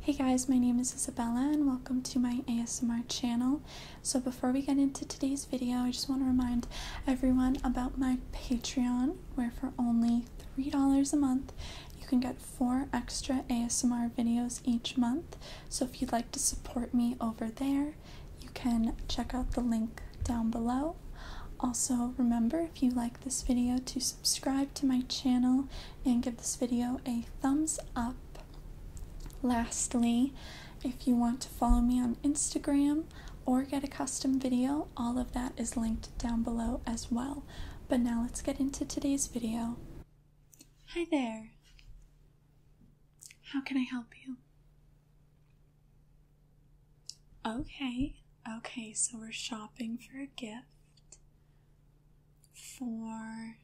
Hey guys, my name is Isabella and welcome to my ASMR channel. So before we get into today's video, I just want to remind everyone about my Patreon, where for only $3 a month, you can get four extra ASMR videos each month. So if you'd like to support me over there, you can check out the link down below. Also, remember if you like this video to subscribe to my channel and give this video a thumbs up. Lastly, if you want to follow me on Instagram or get a custom video, all of that is linked down below as well. But now let's get into today's video. Hi there. How can I help you? Okay, okay, so we're shopping for a gift four.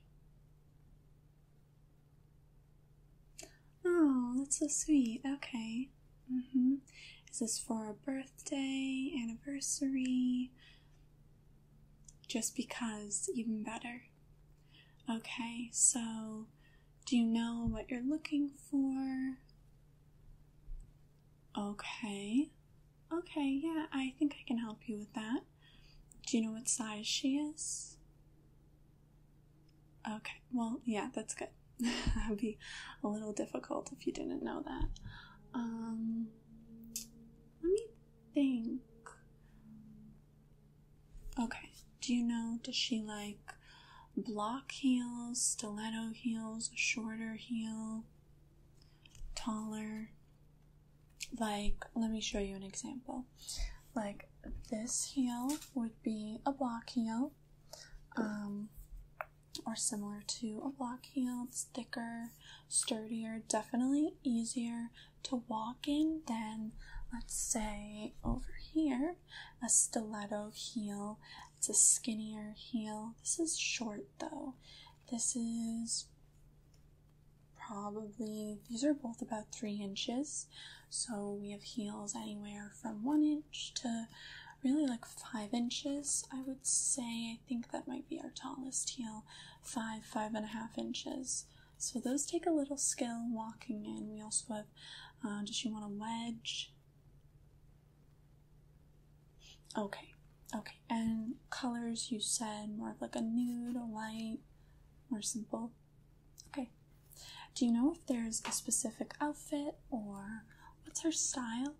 Oh, that's so sweet. Okay. Mm-hmm. Is this for a birthday, anniversary? Just because, even better. Okay, so do you know what you're looking for? Okay. Okay, yeah, I think I can help you with that. Do you know what size she is? Okay, well, yeah, that's good. that would be a little difficult if you didn't know that. Um, let me think. Okay, do you know, does she like block heels, stiletto heels, shorter heel? taller. Like, let me show you an example. Like, this heel would be a block heel, um, or similar to a block heel. It's thicker, sturdier, definitely easier to walk in than, let's say, over here, a stiletto heel. It's a skinnier heel. This is short though. This is probably, these are both about three inches. So we have heels anywhere from one inch to really like five inches. I would say, I think that might be our tallest heel, five, five and a half inches. So those take a little skill walking in. We also have, uh, does she want a wedge? Okay, Okay, and colors you said more of like a nude, a light, more simple. Okay. Do you know if there's a specific outfit or what's her style?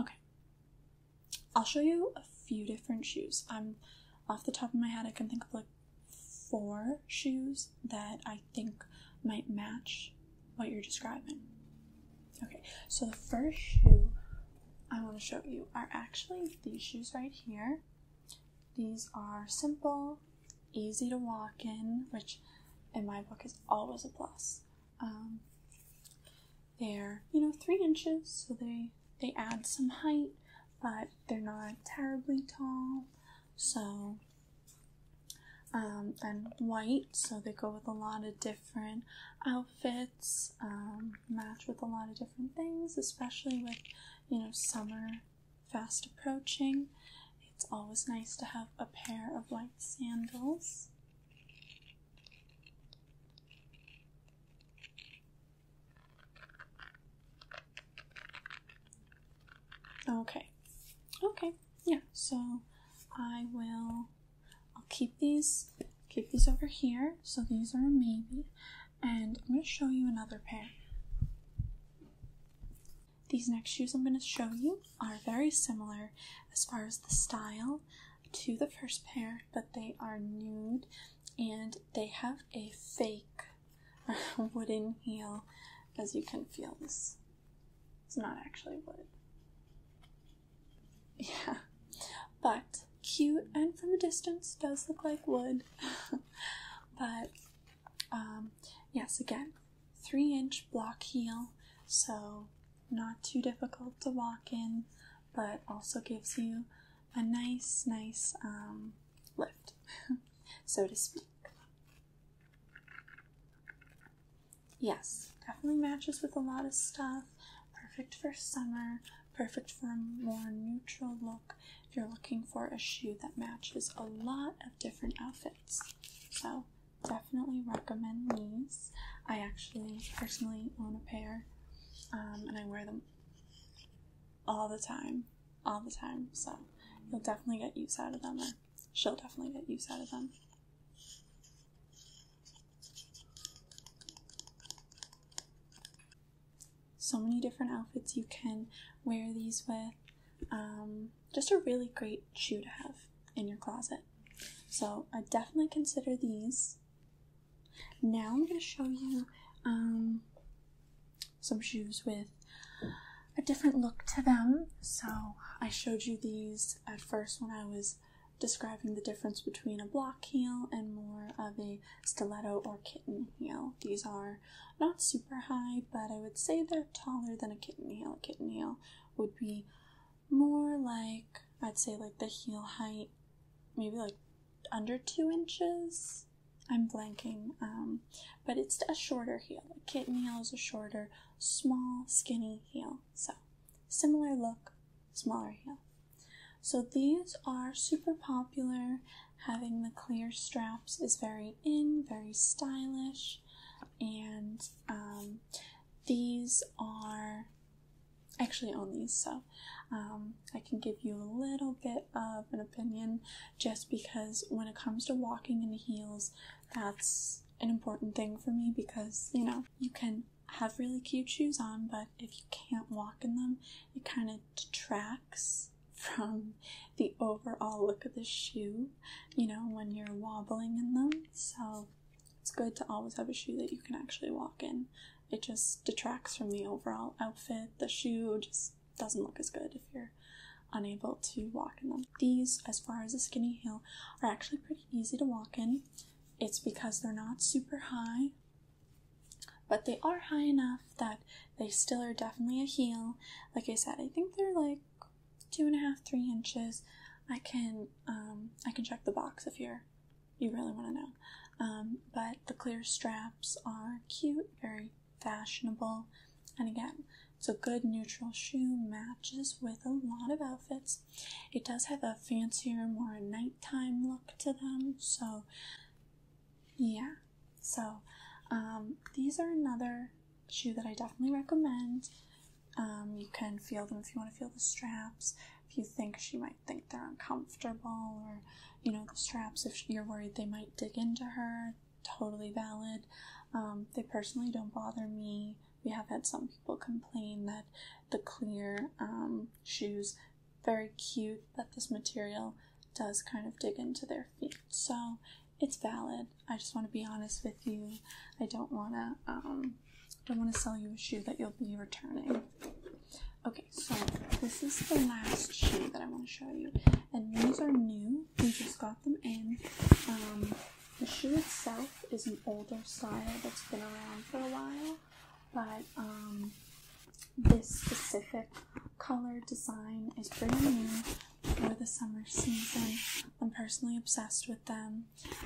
Okay. I'll show you a few different shoes. I'm off the top of my head, I can think of like four shoes that I think might match what you're describing. Okay, so the first shoe I want to show you are actually these shoes right here. These are simple, easy to walk in, which in my book is always a plus. Um, they're you know three inches, so they they add some height, but they're not terribly tall. So um, and white, so they go with a lot of different outfits, um, match with a lot of different things, especially with you know summer fast approaching. It's always nice to have a pair of white sandals. Okay, okay, yeah, so I will I'll keep these keep these over here. So these are maybe. And I'm going to show you another pair. These next shoes I'm going to show you are very similar as far as the style to the first pair, but they are nude and they have a fake wooden heel as you can feel this. It's not actually wood. Yeah, but cute and from a distance does look like wood. but um, yes, again, three inch block heel, so not too difficult to walk in, but also gives you a nice, nice um, lift, so to speak. Yes, definitely matches with a lot of stuff. Perfect for summer, perfect for a more neutral look if you're looking for a shoe that matches a lot of different outfits. So, definitely recommend these. I actually personally own a pair um, and I wear them all the time, all the time. So, you'll definitely get use out of them, she'll definitely get use out of them. So many different outfits you can wear these with. Um, just a really great shoe to have in your closet. So I definitely consider these. Now I'm going to show you um, some shoes with a different look to them. So I showed you these at first when I was describing the difference between a block heel and more of a stiletto or kitten heel. These are not super high, but I would say they're taller than a kitten heel. A kitten heel would be more like, I'd say, like the heel height, maybe like under two inches. I'm blanking, um, but it's a shorter heel. A kitten heel is a shorter, small, skinny heel. So, similar look, smaller heel. So these are super popular. Having the clear straps is very in, very stylish, and um, these are actually on these, so um, I can give you a little bit of an opinion just because when it comes to walking in heels, that's an important thing for me because you know you can have really cute shoes on, but if you can't walk in them, it kind of detracts from the overall look of the shoe, you know, when you're wobbling in them. So it's good to always have a shoe that you can actually walk in. It just detracts from the overall outfit. The shoe just doesn't look as good if you're unable to walk in them. These, as far as a skinny heel, are actually pretty easy to walk in. It's because they're not super high, but they are high enough that they still are definitely a heel. Like I said, I think they're like two and a half, three inches. I can um, I can check the box if you're you really want to know. Um, but the clear straps are cute, very fashionable, and again, it's a good neutral shoe. Matches with a lot of outfits. It does have a fancier, more nighttime look to them, so yeah. So, um, these are another shoe that I definitely recommend. Um, you can feel them if you want to feel the straps. If you think she might think they're uncomfortable, or you know, the straps, if you're worried they might dig into her, totally valid. Um, they personally don't bother me we have had some people complain that the clear um, shoes, very cute, but this material does kind of dig into their feet. So it's valid. I just want to be honest with you. I don't want to. Um, don't want to sell you a shoe that you'll be returning. Okay, so this is the last shoe that I want to show you, and these are new. We just got them in. Um, the shoe itself is an older style that's been around for a while, but um, this specific color design is pretty new for the summer season. I'm personally obsessed with them.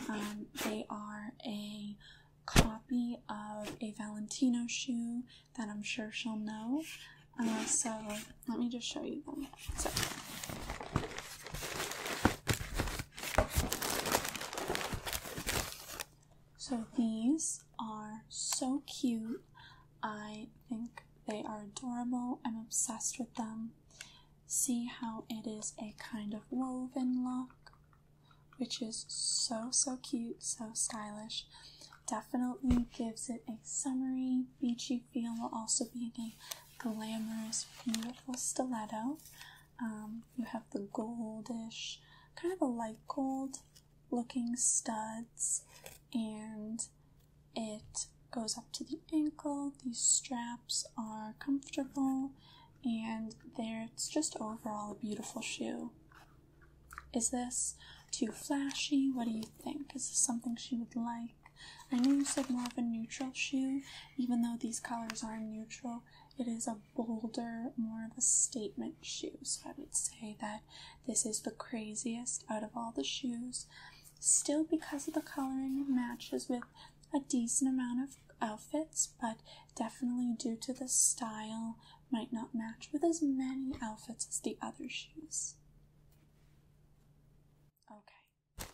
Um, they are a copy of a Valentino shoe that I'm sure she'll know. Uh, so let me just show you them. So these are so cute. I think they are adorable. I'm obsessed with them. See how it is a kind of woven look, which is so, so cute, so stylish. Definitely gives it a summery, beachy feel while also being a glamorous, beautiful stiletto. Um, you have the goldish, kind of a light gold looking studs, and it goes up to the ankle. These straps are comfortable, and there it's just overall a beautiful shoe. Is this too flashy? What do you think? Is this something she would like? I know you said more of a neutral shoe, even though these colors are neutral, it is a bolder, more of a statement shoe. So I would say that this is the craziest out of all the shoes. Still, because of the coloring, matches with a decent amount of outfits, but definitely due to the style, might not match with as many outfits as the other shoes. Okay.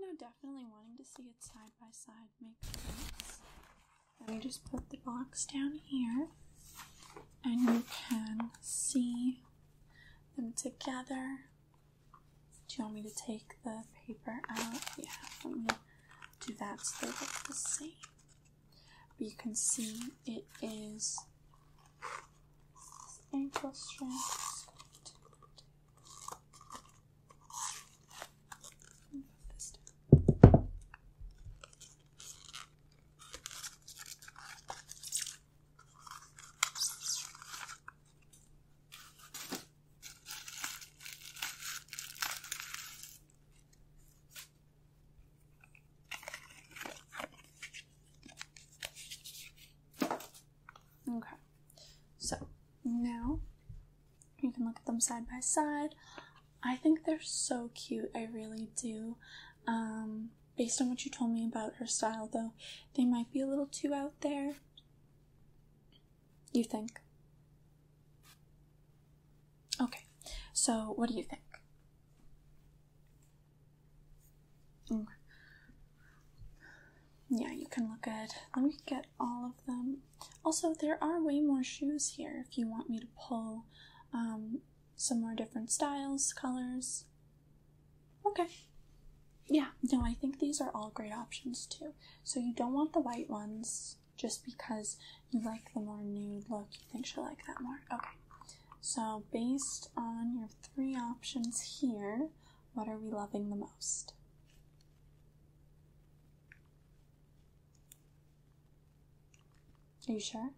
No, definitely wanting to see it side by side makes sense. Let me just put the box down here and you can see them together do you want me to take the paper out? Yeah, let me do that so they look the same. But you can see it is ankle strap. Okay, so now you can look at them side by side. I think they're so cute, I really do. Um, based on what you told me about her style, though, they might be a little too out there. You think? Okay, so what do you think? Okay. Mm. Yeah, you can look at. Let me get all of them. Also, there are way more shoes here if you want me to pull um, some more different styles, colors. Okay. Yeah, no, I think these are all great options too. So you don't want the white ones just because you like the more nude look, you think she'll like that more. Okay. So based on your three options here, what are we loving the most? Are you sure?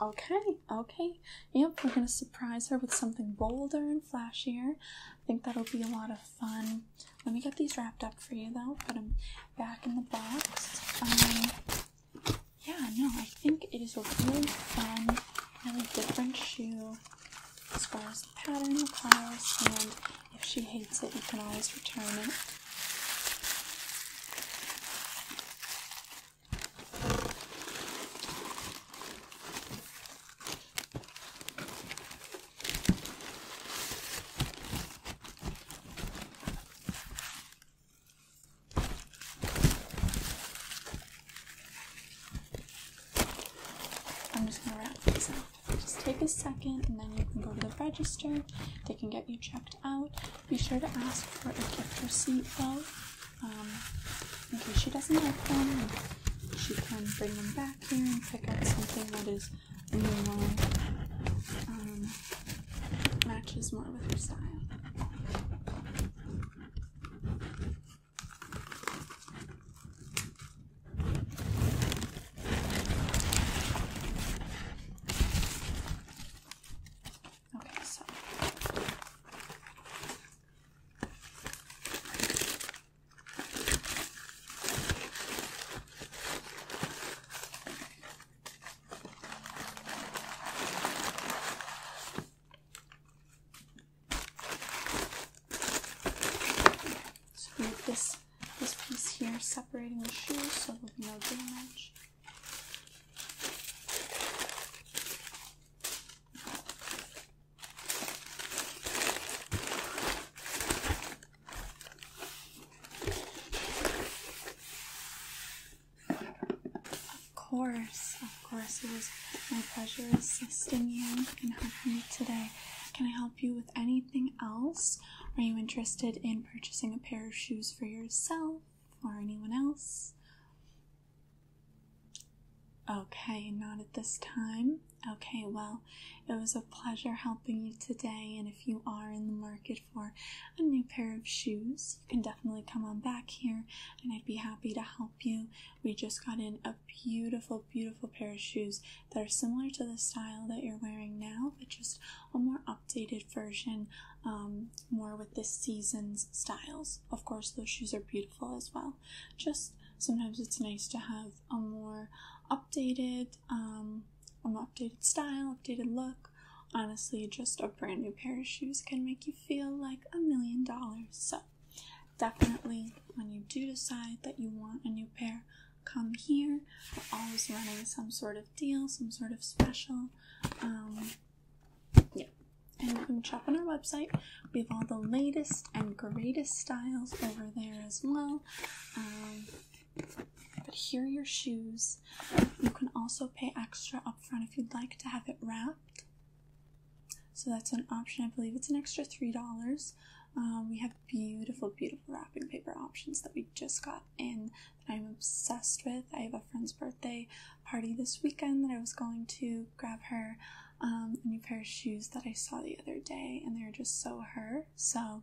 Okay, okay. Yep, we're gonna surprise her with something bolder and flashier. I think that'll be a lot of fun. Let me get these wrapped up for you though, put them back in the box. Um, yeah, no, I think it is a really fun, A different shoe as far as the pattern, goes, and if she hates it, you can always return it. I'm just going to wrap these up. Just take a second and then you can go to the register. They can get you checked out. Be sure to ask for a gift receipt though in um, case she doesn't like them, she can bring them back here and pick out something that is more um, matches more with her style. Okay, so this this piece here separating the shoes so there'll be no damage. Of course, of course, it was my pleasure assisting you and helping you today. Can I help you with anything else? Are you interested in purchasing a pair of shoes for yourself or anyone else? Okay, not at this time. Okay, well, it was a pleasure helping you today. And if you are in the market for a new pair of shoes, you can definitely come on back here and I'd be happy to help you. We just got in a beautiful, beautiful pair of shoes that are similar to the style that you're wearing now, but just a more updated version, um, more with this season's styles. Of course, those shoes are beautiful as well. Just sometimes it's nice to have a more updated, um, updated style, updated look. Honestly, just a brand new pair of shoes can make you feel like a million dollars. So, definitely, when you do decide that you want a new pair, come here. We're always running some sort of deal, some sort of special. Um, yeah. And you can shop on our website. We have all the latest and greatest styles over there as well. Um, but here are your shoes. You can also pay extra up front if you'd like to have it wrapped. So that's an option. I believe it's an extra three dollars. Uh, we have beautiful, beautiful wrapping paper options that we just got in that I'm obsessed with. I have a friend's birthday party this weekend that I was going to grab her um, a new pair of shoes that I saw the other day, and they're just so her. So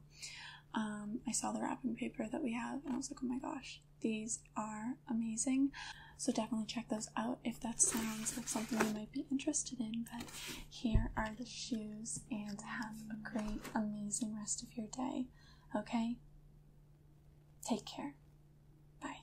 um, I saw the wrapping paper that we have, and I was like, oh my gosh, these are amazing. So definitely check those out if that sounds like something you might be interested in. But here are the shoes, and have a great, amazing rest of your day. Okay? Take care. Bye.